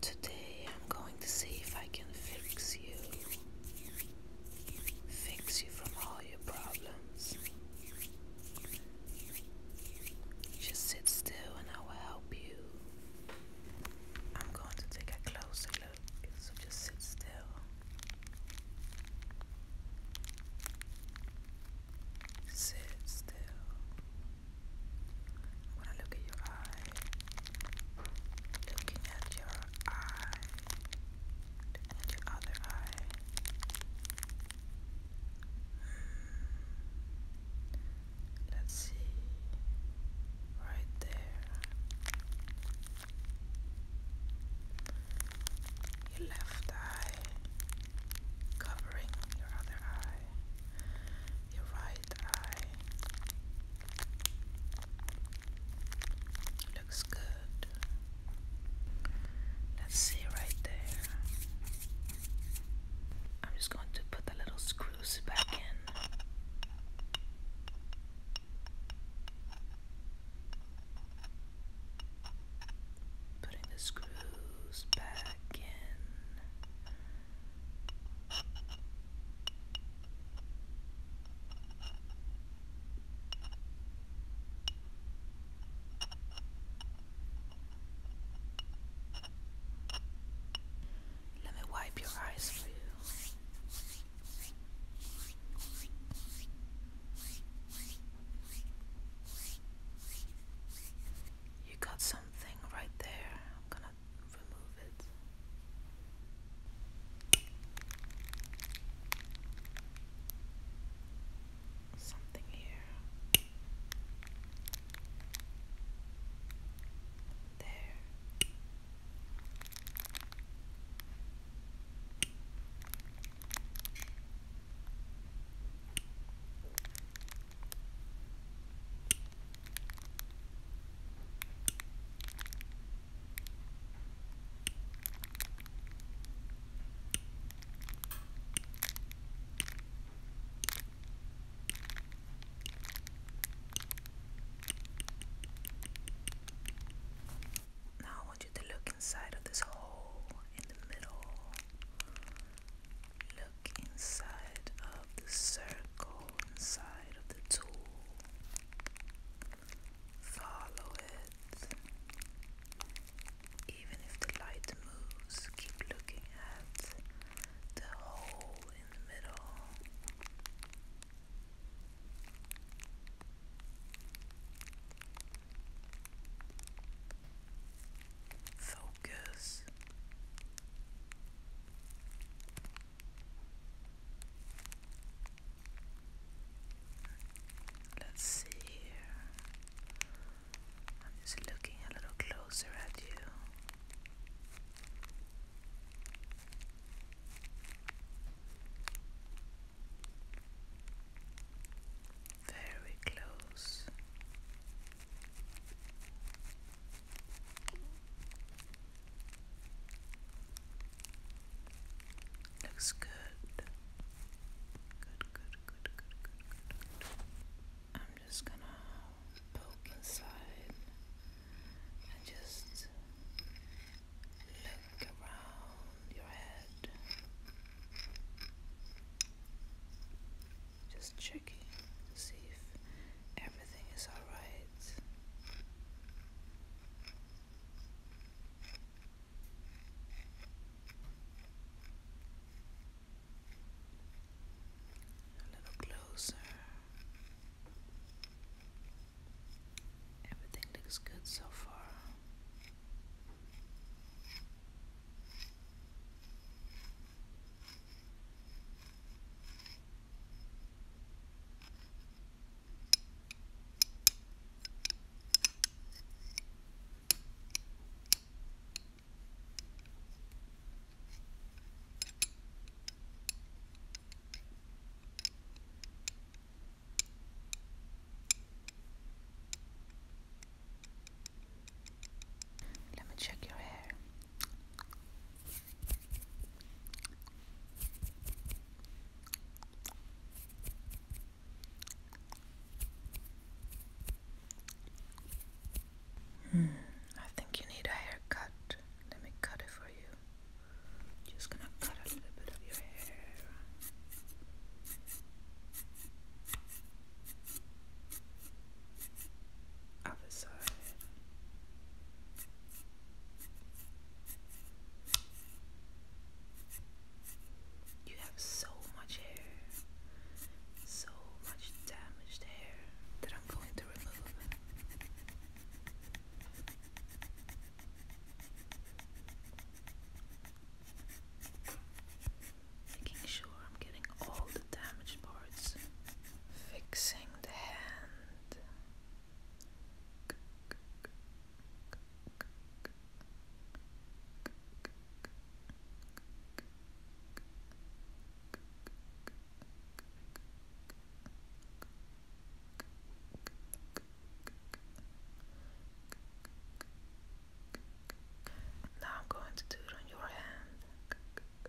Today I'm going to see if I can fix you. Fix you from all your problems. Just sit still and I will help you. I'm going to take a closer look, so just sit still. Sit still. I look at your eye. Looking at your eye. Looking your other eye. Hmm, let's see. Right there. Your left eye. Covering your other eye. Your right Looks good. Let's see right there. I'm just going to put the little screws back in. Putting the screws back in. Let me wipe your eyes for you. You got something right there not remove it. Something here. There. Now I want you to look inside of this hole in the middle. Look inside of the circle inside of the tool, follow it. Even if the light moves, keep looking at the hole in the middle. Focus. Let's see here. I'm just looking a little closer at you. Very close. Looks good. Good, good, good, good, good, I'm just gonna poke inside and just look around your head. Just checking see if Everything is alright. A little closer. Everything looks good so far. Let me check your hair. Hmm, I think you need a haircut. Let me cut it for you. just gonna cut a little bit of your hair. Other side. You have so much hair, so much damaged hair that I'm going to remove. Making sure I'm getting all the damaged parts, fixing the hand. Now I'm going to do it on your hand.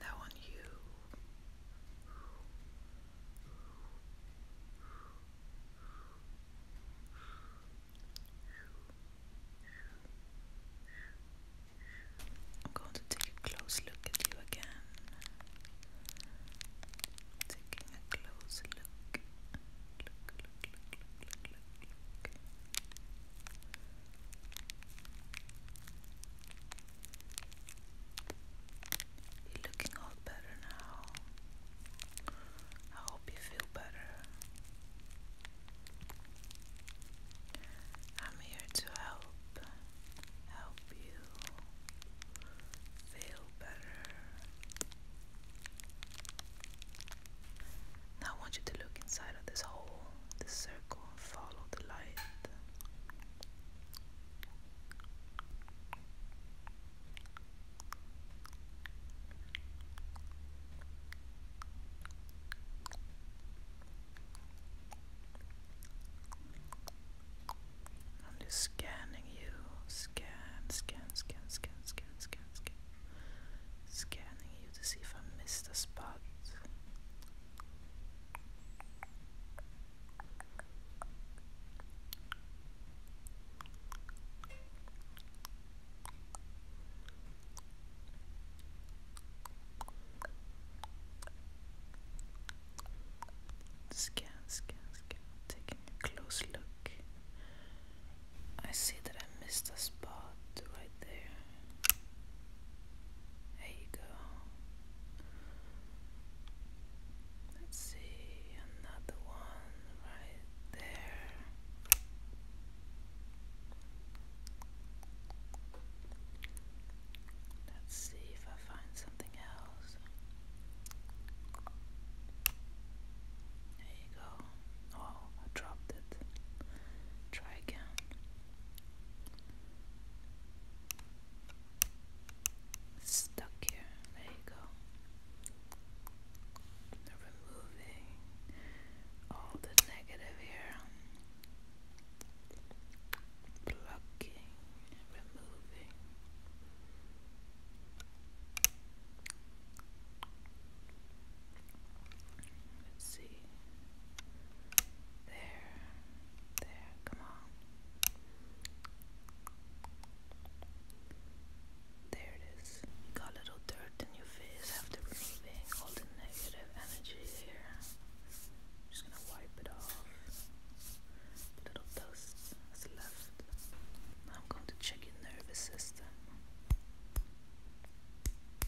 Now on you. I'm going to take a close look at you again. Taking a close look. You're looking all better now. I hope you feel better. I'm here to help, help you feel better. Now I want you to look inside of this hole, this circle follow the light. I'm just scanning you. Scan, scan, scan, scan, scan, scan, scan. Scanning you to see if I missed a spot. Scan, scan, scan. Taking a close look. I see that I missed a spot where there. There you go. Let's see, another one right there. Let's see if I find something else. There you go. Oh, I dropped it. Try again stuck here. There you go. Removing all the negative here. Plucking, removing. Let's see. There. There. Come on. There it is. got a little dirt in your face after removing all the negative energy here. just gonna wipe it off. The little dust is left. Now I'm going to check your nervous system.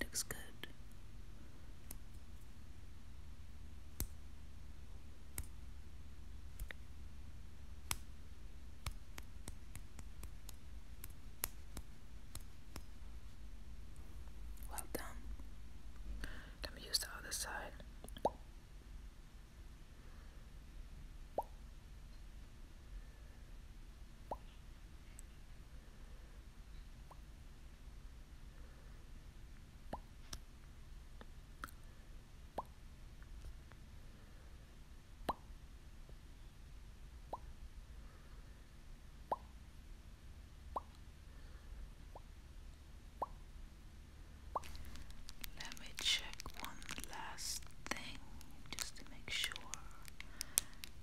Looks good. Well done. Let me use the other side. Let me check one last thing just to make sure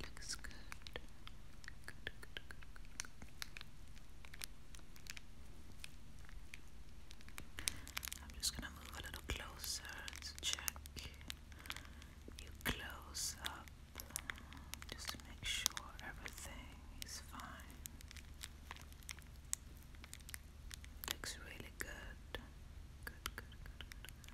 It looks good. I'm just gonna move a little closer to check you close up just to make sure everything is fine. Looks really good. Good, good, good, good.